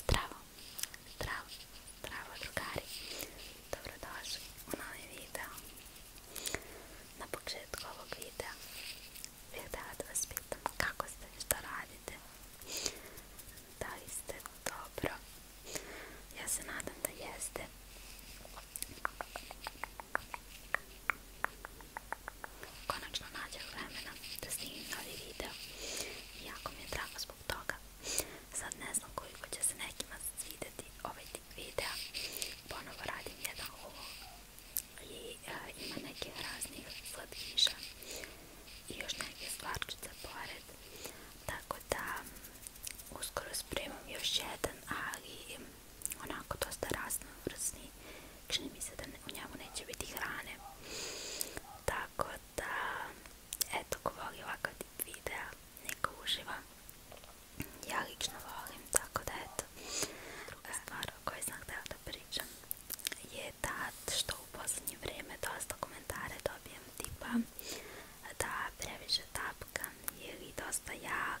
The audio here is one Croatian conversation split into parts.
Zdravo, zdravo, zdravo drugari, dobrodošli u novi video. Na početku ovog videa bih htjela da vas pitam kako ste, što radite, da li ste dobro, ja se nadam da jeste konačno nađe vremena da snimim novi video i jako mi je drago zbog toga sad ne znam koliko će se nekima svidjeti ovaj tip videa ponovo radim jedan ovo i e, ima neke raznih slatkiša i još neke stvarčice pored tako da uskoro spremam još jedan ali onako dosta raznovrsni, čini mi se da u njemu neće biti hrane. Tako da, eto, ko voli ovakav tip videa, neka uživa. Ja lično volim, tako da eto. Druga stvar o kojoj sam da pričam je ta što u posljednje vrijeme dosta komentare dobijem tipa da previše tapkam ili dosta ja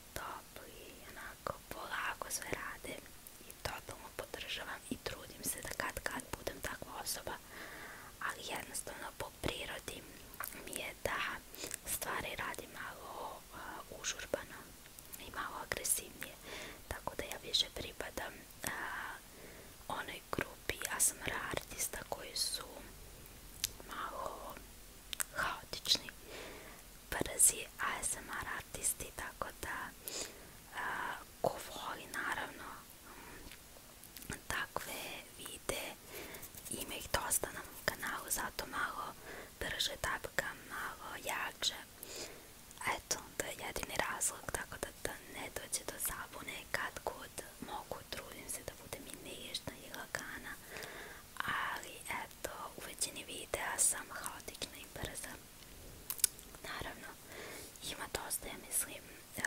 topli, onako polako sve rade i totalno podržavam i trudim se da kad kad budem takva osoba, ali jednostavno po prirodi mi je da stvari radi malo uh, užurbano i malo agresivnije, tako da ja više pripadam uh, onoj grupi ASMR artista koji su malo kaotični brzi ASMR artisti tako da ko voli naravno mm, takve vide ima ih dosta na kanalu zato malo brže tapkam, malo jače eto to je jedini razlog tako da, ne dođe do zabune kad god mogu trudim se da budem i nežna ali eto u većini videa sam haotična i brza naravno ima dosta ja mislim eh,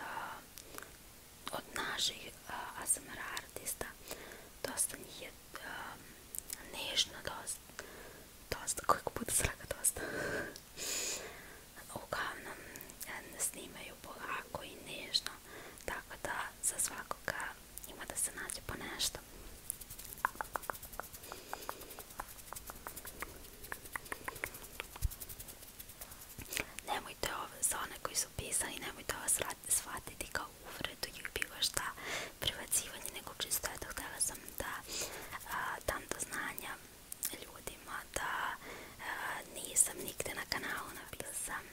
od naših eh, ASMR artista dosta njih je eh, nežno dosta dosta, koliko puta sraka dosta uglavnom snimaju polako i nežno tako da za svakoga ima da se nađe po nešto. Nemojte za koji su pisali, nemojte vas shvatiti kao uvredu ili bilo šta privacivanje, nekog čisto eto htjela sam da dam do znanja ljudima da nisam nikde na kanalu napisala sam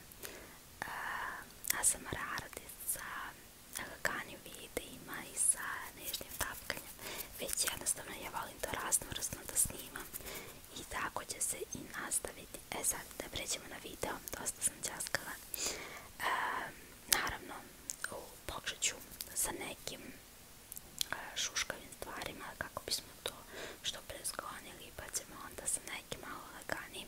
Eh, a sam radit sa eh, laganjem videima i sa nežnim tapkanjem, već jednostavno ja volim to raznovrsno da snimam i tako će se i nastaviti. E sad da pređemo na video, dosta sam časkala. Eh, naravno, u ću sa nekim šuškavim stvarima kako bismo to što prezgonili pa ćemo onda sa nekim malo laganijim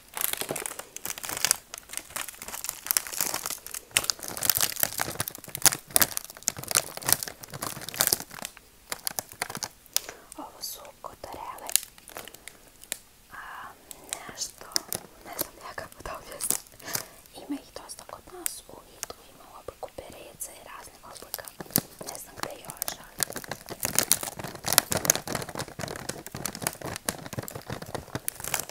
Ovo su kotarele. A, nešto, ne znam ja kako da objasnim. Ima ih dosta kod nas u vidu. Ima u obliku perece i raznih oblika. Ne znam gde još,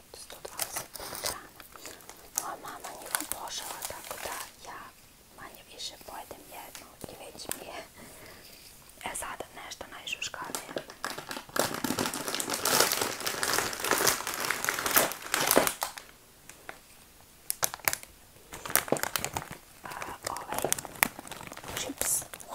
120 grana. Moja mama njih tako da ja manje više pojedem jednu i već mi je. E sada nešto najžuškavije. Ovaj čips u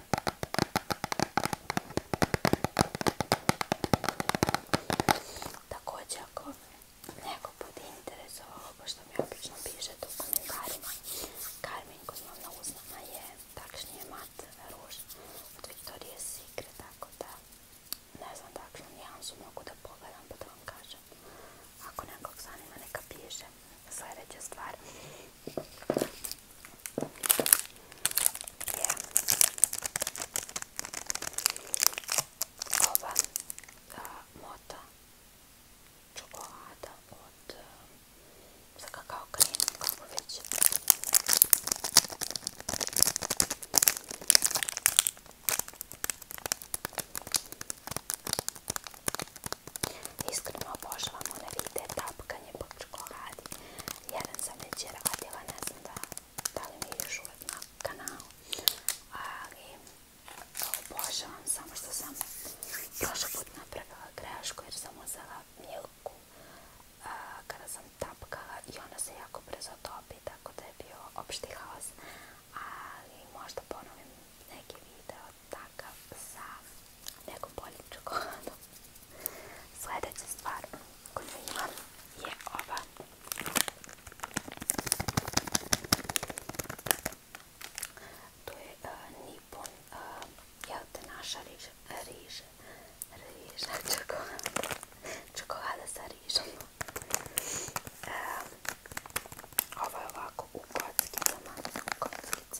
Također ako neko bude interesovao ovo što mi obično piše tu u komentarima, Carmen Kozlovna Uznama je takšnije mat ruž od Victoria's Secret, tako da ne znam takšnu nijansu mogu da pogledam pa da vam kažem. Ako nekog zanima neka piše. Sljedeća stvar ja. Ova mota čokolada od za eh, kakao krenu, kako već. Iskreno obožavam one vide tapkanje po čokoladi. Jeden sam već radila, ne znam da, da li mi još uvijek na kanalu, ali obožavam samo što sam prošli put napravila grešku jer sam uzela milku kada sam tapkala i ona se jako brzo topi, tako da je bio opšti haos, ali možda ponovim neki video takav sa Jako bolju čokoladu. Sljedeća stvar koju imam je ova. To je e, Nippon, e, jel naša riža? Riža. Riža čokolada, čokolada sa rižom. Um, e, ovo ovako u kockicama, kockic,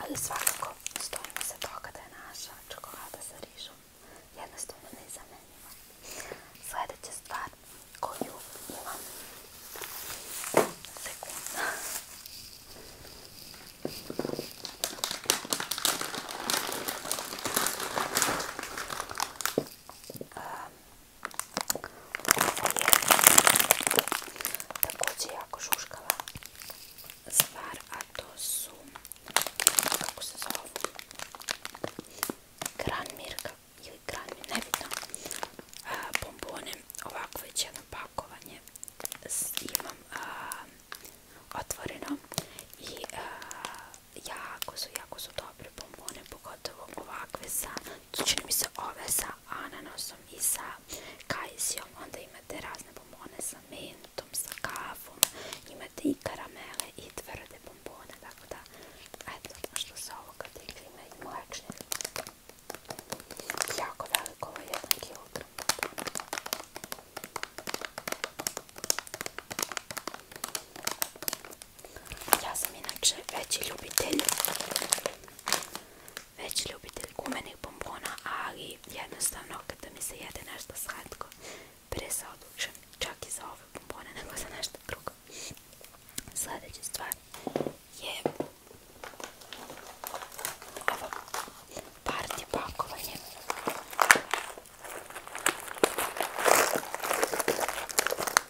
Ali svakako stojimo se toga da je naša čokolada sa rižom jednostavno nezamenljiva. Sljedeća stvar koju imam sekunda. Također jako šuškava stvar, a to su, kako se zove, Granmirka ili ne vidim, bombone, ovako već jedno pakovanje imam otvoreno i jako su, jako su dobre bombone, pogotovo ovakve sa, čini mi se ove sa ananasom i sa kajsijom, onda imate razne bombone sa mentom, sa kafom, imate i karamele i tvrde bombone, tako da, eto, što se ovoga tiče, ima i mlečne, jako veliko, ovo ja sam inače veći ljubitelj veći ljubitelj gumenih bombona, ali jednostavno kada mi se jede nešto slatko presa odlučujem čak i za ove bombone nego za nešto drugo. Sljedeća stvar je ovo partija pakovanje.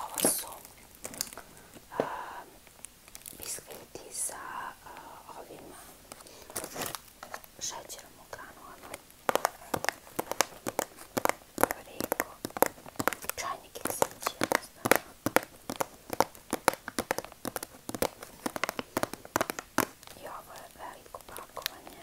Ovo su uh, um, biskviti sa uh, ovim uh, šećerom u granulama. Ono, preko čajnik i ovo je veliko pakovanje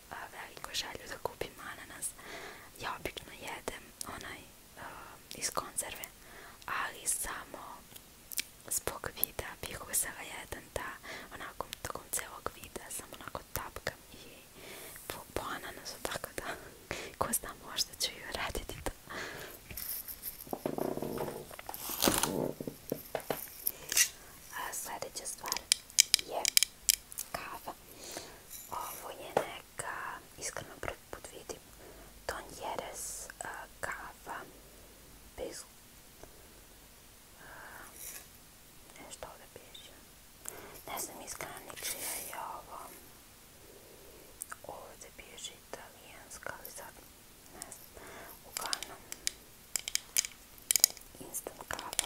veliko želju da kupim ananas. Ja obično jedem onaj eh, iz konzerve, ali samo zbog vida bih uzela jedan da onako tokom celog vida sam onako tapkam i po, nas ananasu, tako da ko zna možda ću i raditi to. sljedeća stvar je ovo je neka, iskreno prvi put vidim, Don Jerez kava bez... Uh, nešto ovdje Ne znam iskreno ničija je ovo. Ovdje piše italijanska, ali sad ne znam. Uglavnom, instant kava.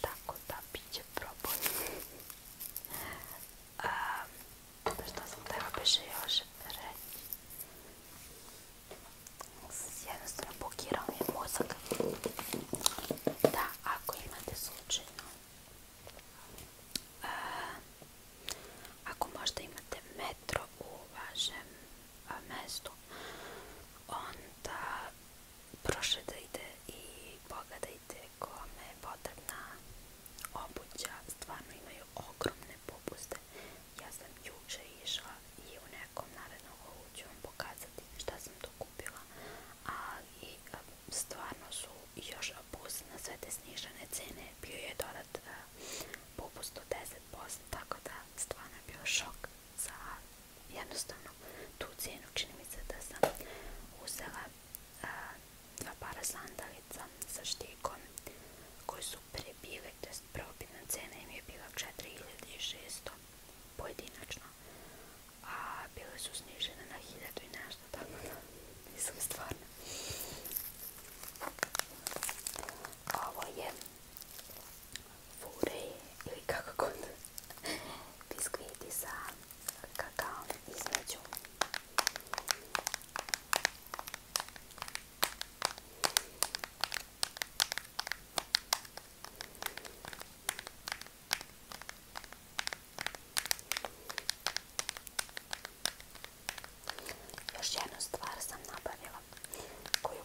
Tako da bit će problem. um, pa što sam treba biše još reći? Jednostavno blokirao mi je mozak. Da, ako imate slučajno uh, ako možda imate metro u vašem mjestu, mestu onda prošetajte i pogledajte kome je potrebna obuća, stvarno imaju ogromne popuste. Ja sam juče išla i u nekom narednom ovu pokazati šta sam tu kupila, i ehm, stvarno su još popust na sve te snižene cene, bio je dodat eh, popust od 10%, tako da stvarno je bio šok za jednostavno tu cijenu čini mi se da sam uzela a, dva para sandalica sa štikom koji su prije test je probitna cena im je bila 4600 pojedinačno a bile su snižene na 1000 i nešto tako da nisam stvarno ovo je fure ili kakakon god biskviti sa kakaom između. Još jednu stvar sam nabavila koju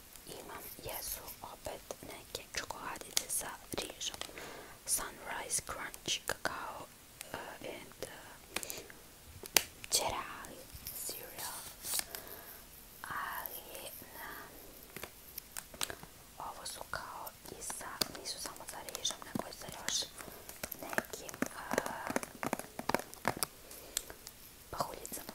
imam jesu opet neke čokoladice sa rižom. Sunrise Crunch, kakao eh, and eh, cereal. Ali na... Eh, ovo su kao i sa... Nisu samo sa rižom, nego i sa još nekim... pahuljicama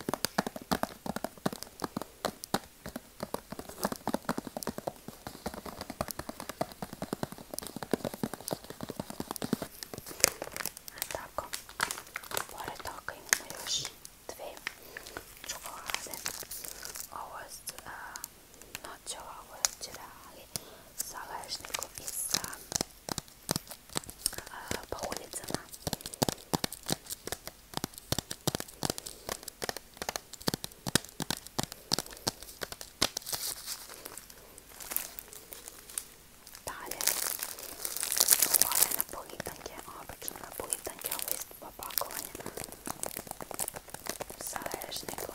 tako, pored toga imamo još dve čokolade. Ovo je noćova, ovo je ali sa lešnikom i sa Dalje, na napolitanke, obično napolitanke, ovo je isto pa pakovanje sa rešnikom.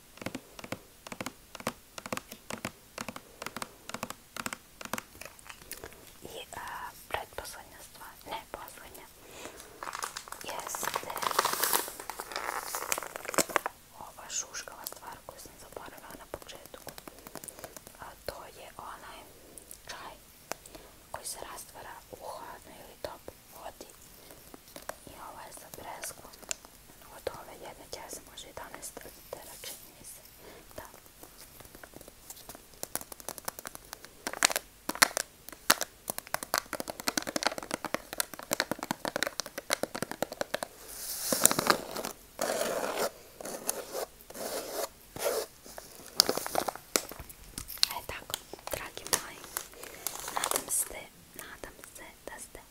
I a, e, predposlednja stvar, ne poslednja, jeste ova šuškava stvar koju sam zaboravila na početku. A, to je onaj čaj koji se rastvara u hladnoj ili top vodi i ovo je za presku od ove jedne kese može 11 litera čini mi se da E tako, dragi moji, nadam se, nadam se da ste